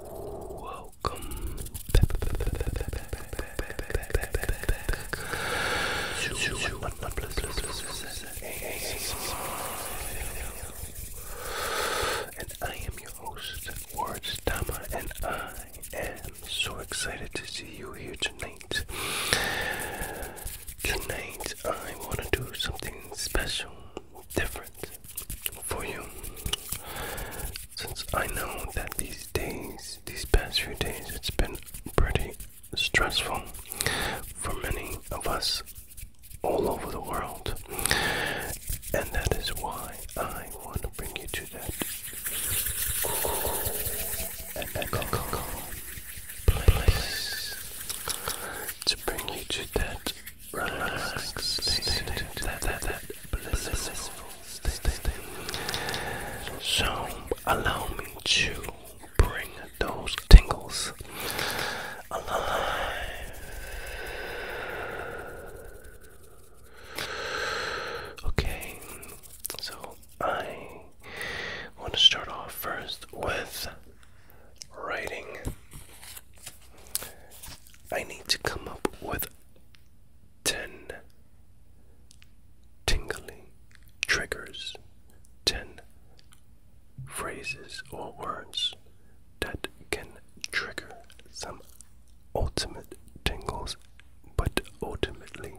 Welcome and I am your host, Words Tama, and I am so excited to see you here tonight tonight. I want to do something special, different for you. Since I know that these days, these past few days, it's been pretty stressful for many of us all over the world. And that is why I want to bring you to that. And that call, call, call place to bring you to that relaxed that, that, that blissful state. So allow me to bring those tingles alive. Okay, so I I want to start off first with writing. I need to come up with 10 tingling triggers, 10 phrases or words that can trigger some ultimate tingles, but ultimately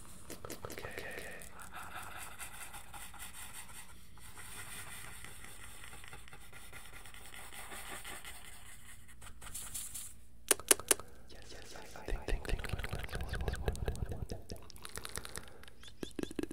Okay. Yes, yes, I, I think, think, think, think, think, think, think, think,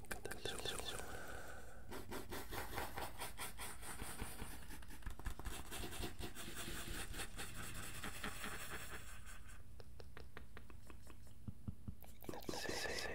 think this is Let's see.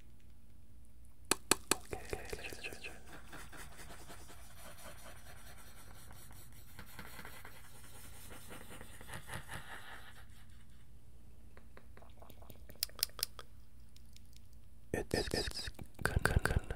Okay, okay, okay, okay, okay. It's it's, it's kind of kind of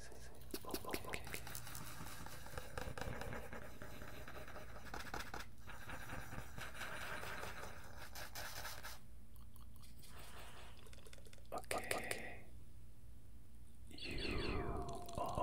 okay, okay. Okay. you are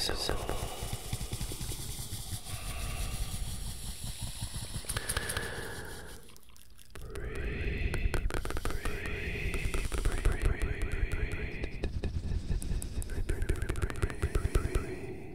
Very simple. breathe, breathe, breathe, breathe, breathe, breathe, breathe,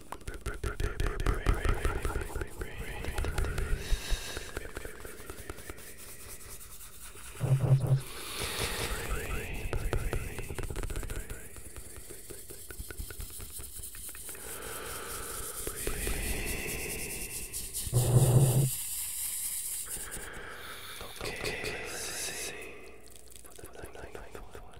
Okay, okay, let's see. For the ninth one.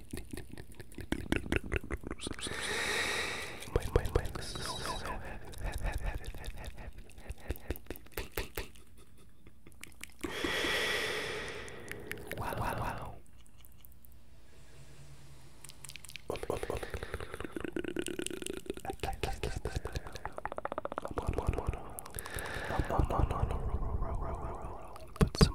My my my so Wow wow wow. Oh my God. Put some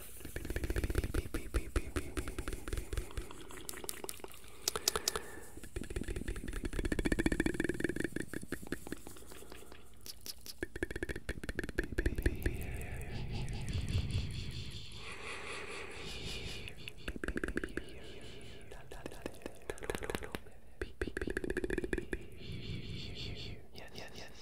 Yes, yes, yes,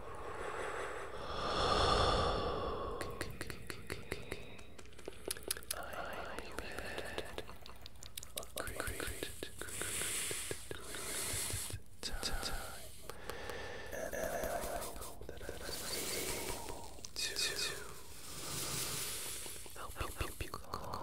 Okay, I will be Great, time. And I hope to help you calm down.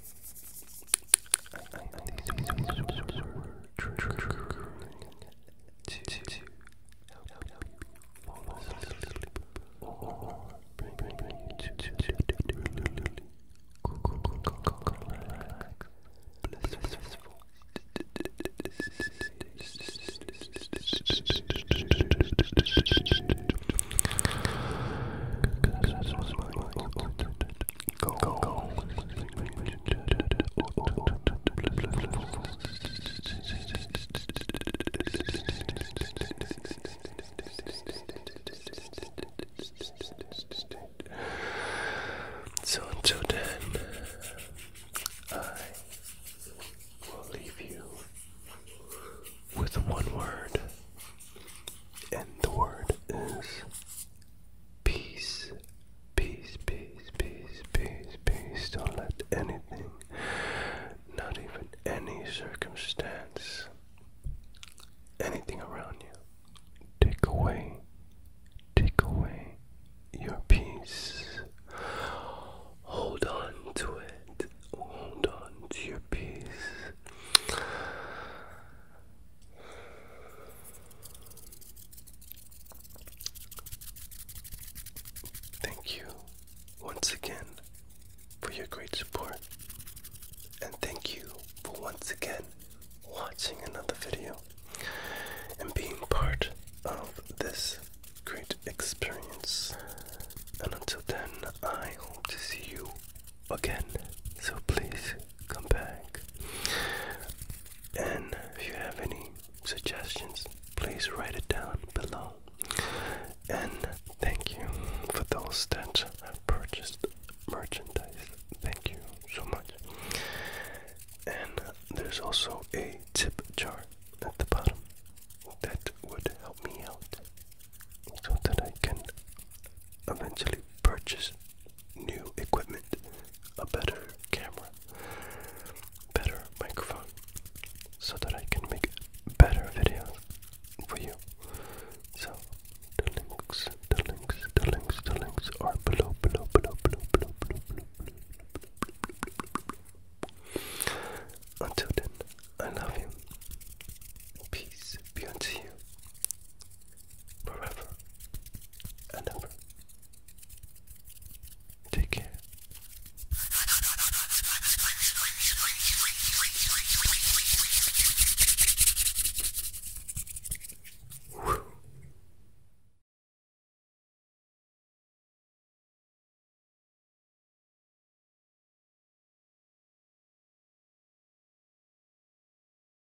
I, I think these words were triggering to help you fall asleep or bring, bring, bring you to, to, to, relax, blissful state. That's what's my mind. Go, go, go. So until then, I will leave you with one word, and the word is Peace, peace, peace, peace, peace, peace. Don't let anything, not even any circumstance, anything around you, take away, take away your peace. Hold on to it. Hold on to your peace. Thank you once again for your great support, and thank you for once again watching another video and being part of this great experience. And until then, I hope to see you again. So please come back. And if you have any suggestions, please write it down below. And thank you for those that have purchased merchandise. Thank you so much. And there's also a tip jar at the bottom that would help me out so that I can eventually purchase new equipment, a better camera, better microphone, so that I can make better videos for you. So the links, the links, the links, the links are below, below, below, below, below, below, below, below. Until then, I love you. Peace be unto you forever and ever. Take care.